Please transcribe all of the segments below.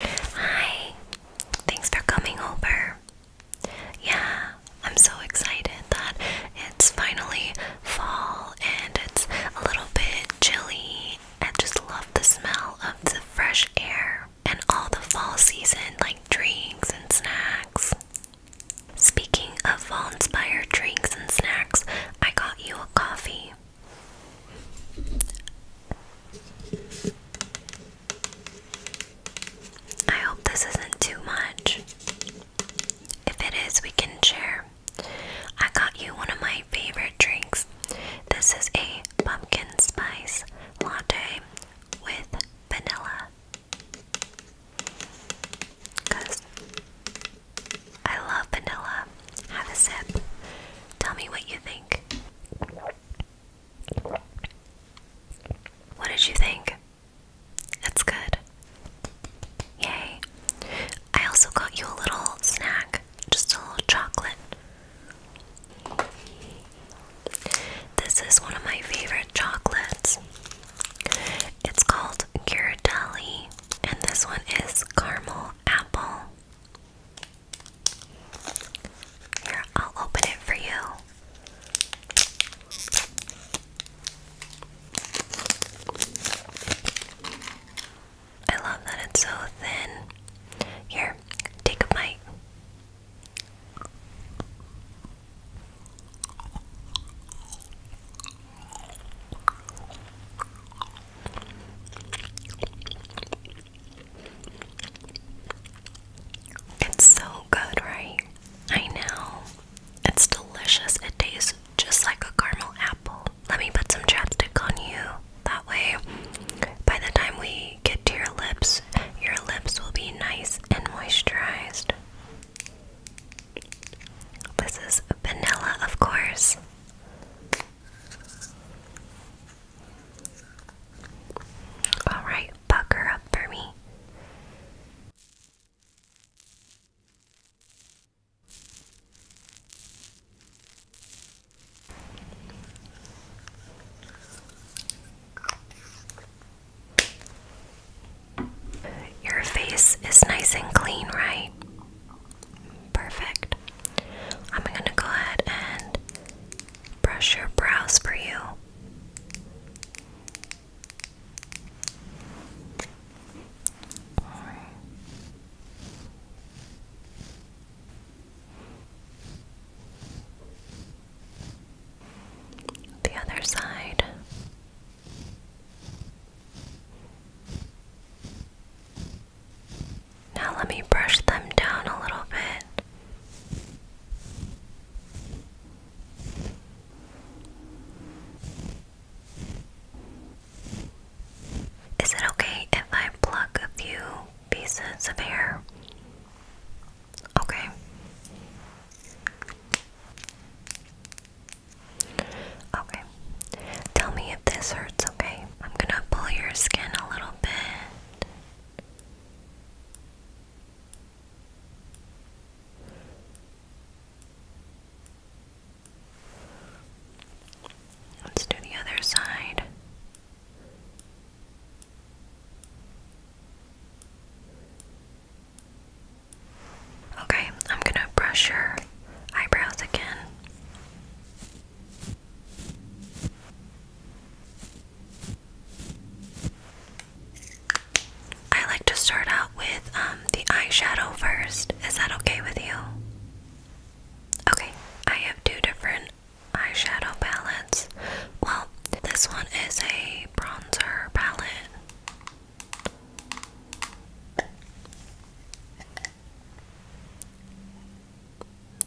Hi, thanks for coming over. Yeah, I'm so excited that it's finally fall and it's a little bit chilly. I just love the smell of the fresh air and all the fall season like drinks and snacks. Speaking of fall inspired drinks and snacks, I got you a coffee. I hope this isn't too much. If it is, we can share. I got you one of my favorite drinks. This is a pumpkin spice latte with vanilla. Because I love vanilla. Have a sip. Tell me what you think. What did you think? That's good. Yay. I also got you a little snack, just a little chocolate. This is one of my favorite chocolates. It's called Ghirardelli, and this one is caramel apple. Here, I'll open it for you. I love that it's so thin. Here, take a bite. It's so good, right? I know. It's delicious. It tastes just like a caramel apple. Let me put some chapstick on you. That way, by the time we get to your lips, your lips will be nice and moisturized. This is vanilla, of course. Alright, buck her up for me. Your face is nice and clean, right? Perfect. I'm gonna go ahead and brush your brows for you. The other side. Now let me brush them down a little bit. Is it okay if I pluck a few pieces of hair? Okay. Okay. Tell me if this hurts, okay? I'm gonna pull your skin a little Let's do the other side. Okay, I'm gonna brush your eyebrows again. I like to start out with um, the eyeshadow first. Is that okay with you? Okay, I have two different eyeshadow palettes. Well, this one is a bronzer palette.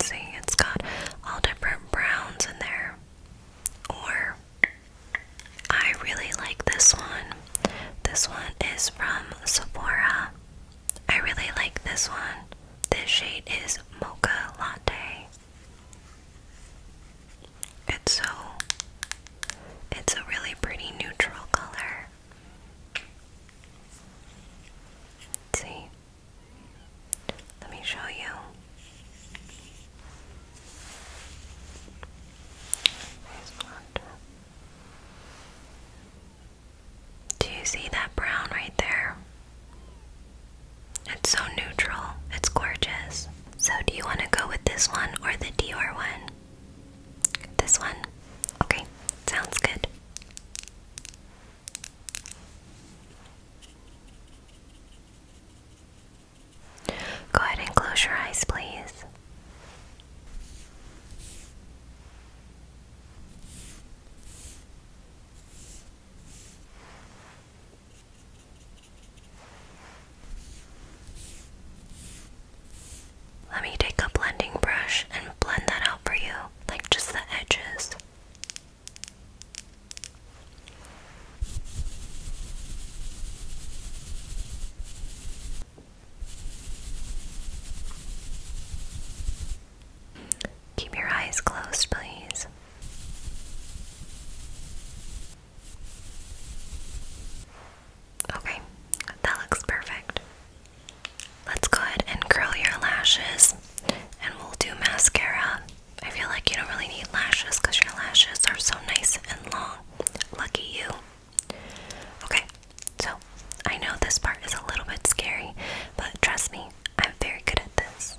See, it's got all different browns in there. Or, I really like this one. This one is from Sephora. I really like this one. This shade is Mocha Latte. It's so, it's a really pretty neutral color. See, let me show you. Do you see that brown right there? It's so neutral. It's gorgeous. So, do you want to go with this one or the Dior one? This one? Okay, sounds good. Go ahead and close your eyes, please. Let me take a blending brush and blend that out for you like just the edges. Keep your eyes closed, please. Okay, that looks perfect. Let's go ahead and curl your lashes and we'll do mascara. I feel like you don't really need lashes because your lashes are so nice and long. Lucky you. Okay, so I know this part is a little bit scary, but trust me, I'm very good at this.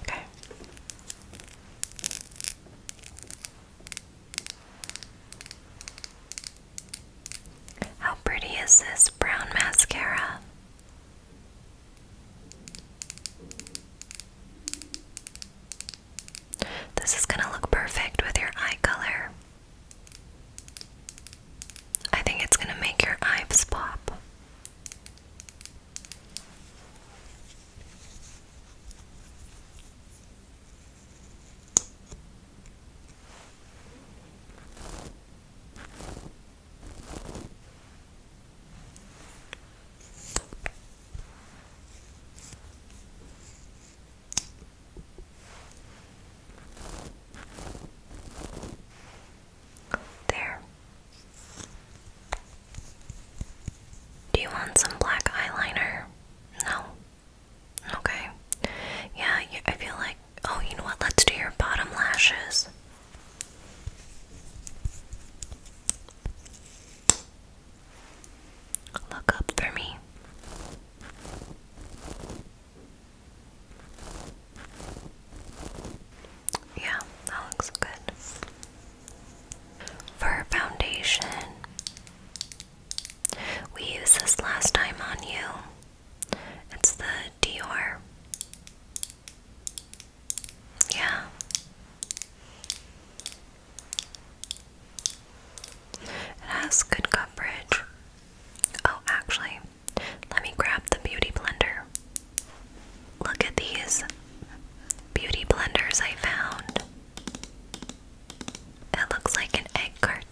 Okay. How pretty is this brown mascara? This is going to look perfect with your eye color. I think it's going to make your eyes pop. There. Do you want some black eyeliner? No. Okay. Yeah, I feel like. Oh, you know what? Let's do your bottom lashes. Look up for me. Yeah, that looks good. For foundation, we used this last time on you. It's the Dior. Yeah. It has good coverage. Oh, actually, let me grab the beauty blender. Look at these beauty blenders I found. That looks like an egg carton.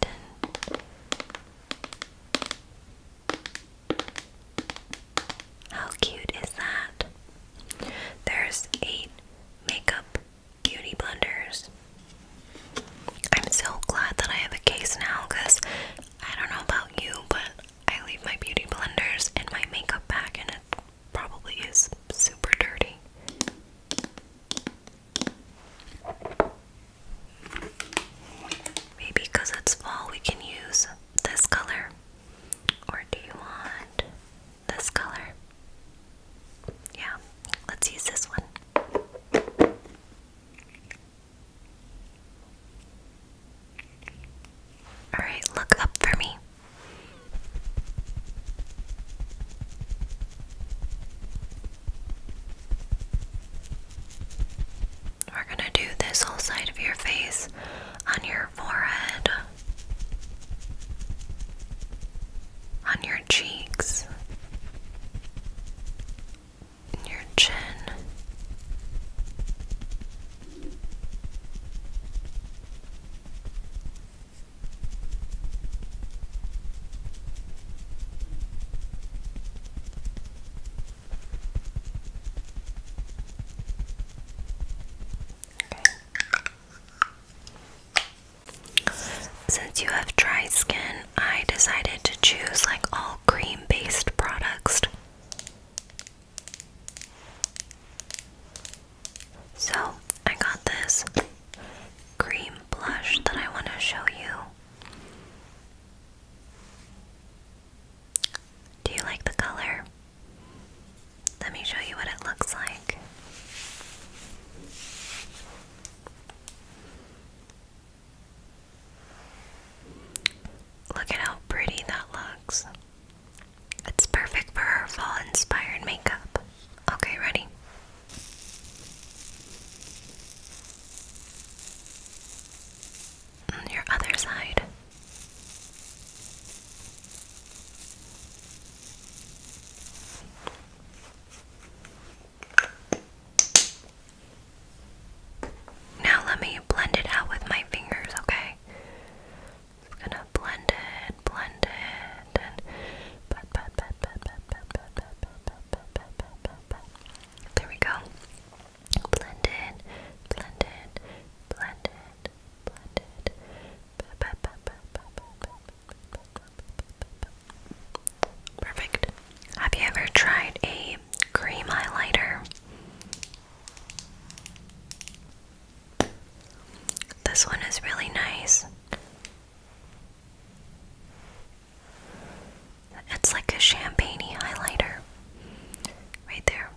How cute is that? There's eight makeup beauty blenders. I'm so glad that I have a case now because I don't know about you, but I leave my beauty blenders in my makeup bag and it probably is super dirty. Maybe because it's fall, we can use this color. Or do you want this color? Yeah, let's use this one. All right, look up for me. We're going to do this whole side of your face on your forehead, on your cheeks, and your chin. Since you have dry skin, I decided to choose like all all cream based products. So, I got this cream blush that I want to show you. Do you like the color? Let me show you what it looks like. Look at how pretty that looks. It's perfect for our fall inspired makeup. Okay, ready? Mm, your other side. Now let me blend it out with my fingers, okay? Just gonna blend it, blend it, and There we go. Blend it, blend it, blend it, blend it. Perfect. Have you ever tried a cream highlighter. This one is really nice. It's like a champagney highlighter. Right there.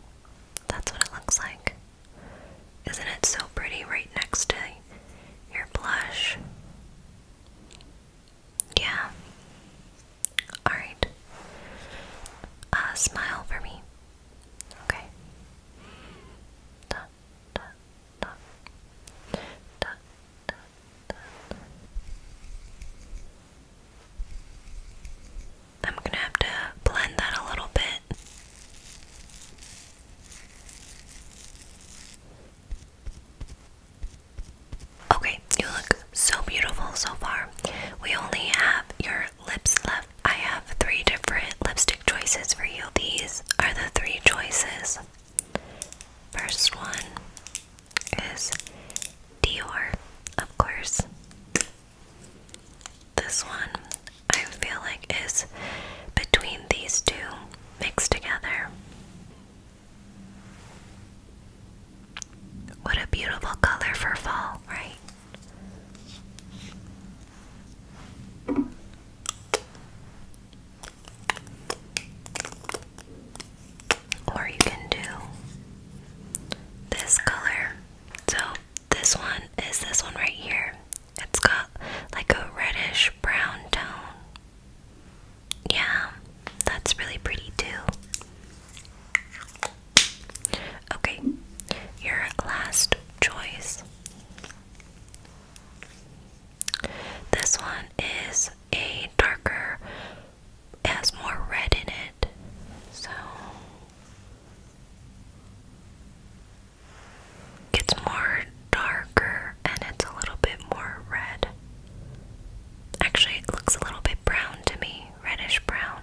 That's what it looks like. Isn't it so pretty right next to your blush? Yeah. Alright. Uh, smile for me. Okay. da, da. Da, da, da, da. I'm gonna have to blend that a little bit. Okay, you look so beautiful so far. We only have your lips left. I have three different lipstick choices for you. These are the three choices. First one is Dior, of course. This one I feel like is between these two mixed together. What a beautiful color for fall, right? Or you can do this color. So, this one is this one right here. It's got like a reddish brown tone. Yeah, that's really pretty too. Okay, your last choice. This one is a darker, has more red in it. So it's more darker and it's a little bit more red. Actually, it looks a little bit brown to me, reddish brown.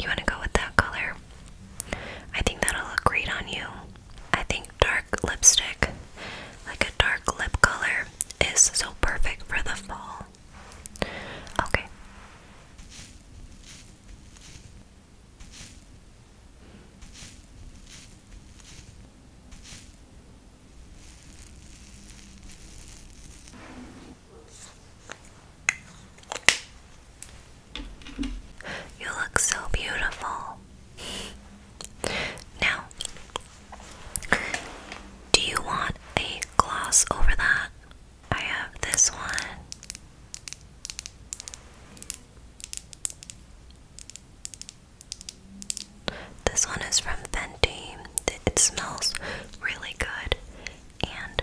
You want to go with that color? I think that'll look great on you. I think dark lipstick, like a dark lip color, is so perfect for the fall. Okay. You look so beautiful. Now, do you want a gloss over that? I have this one. This one is from Fenty. It smells really good and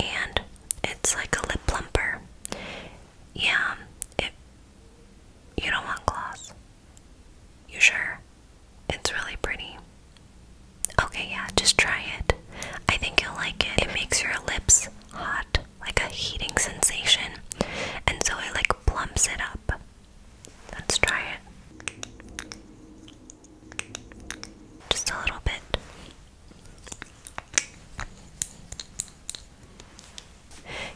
and it's like a lip plumper. Yeah, it you don't want gloss. You sure? It's really pretty. Okay, yeah, just try it. I think you'll like it. It makes your lips hot, like a heating sensation, and so it like plumps it up. Let's try it. Just a little bit.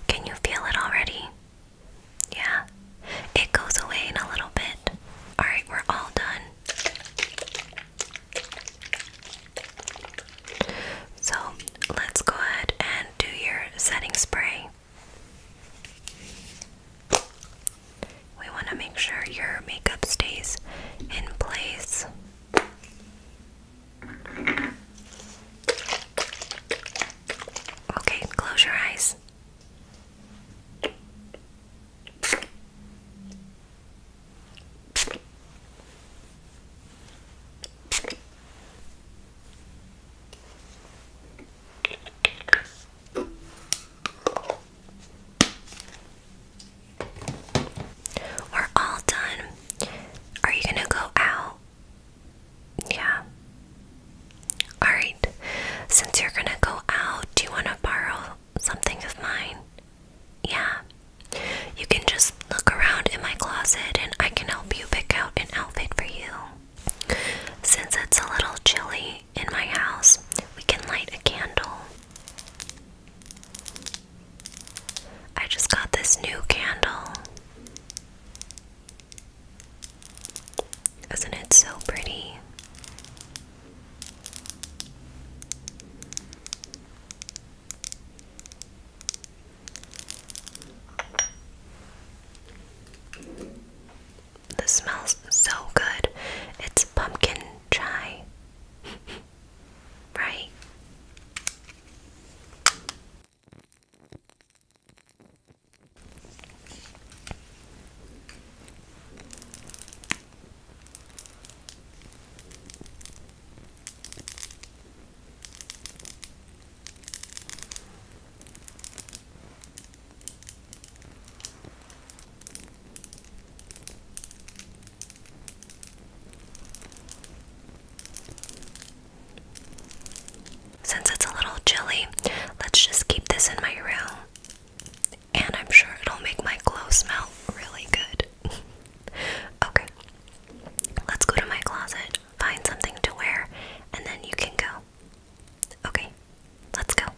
Can you feel it already? Yeah, it goes away in a little bit. Alright, we're all done. So let's go ahead and do your setting spray. We want to make sure your makeup stays in place. Okay, close your eyes. We're all done. Are you going to go out? Yeah. Alright, since you're gonna go out, do you wanna borrow something of mine? Yeah. You can just look around in my closet and I can help you pick out an outfit for you. Since it's a little chilly in my house, we can light a candle. I just got this new candle. Isn't it so pretty? This smells so good. It's pumpkin chai. right? Since it's a little chilly, let's just keep this in my room and I'm sure it'll make my clothes smell really good. okay, let's go to my closet, find something to wear, and then you can go. Okay, let's go.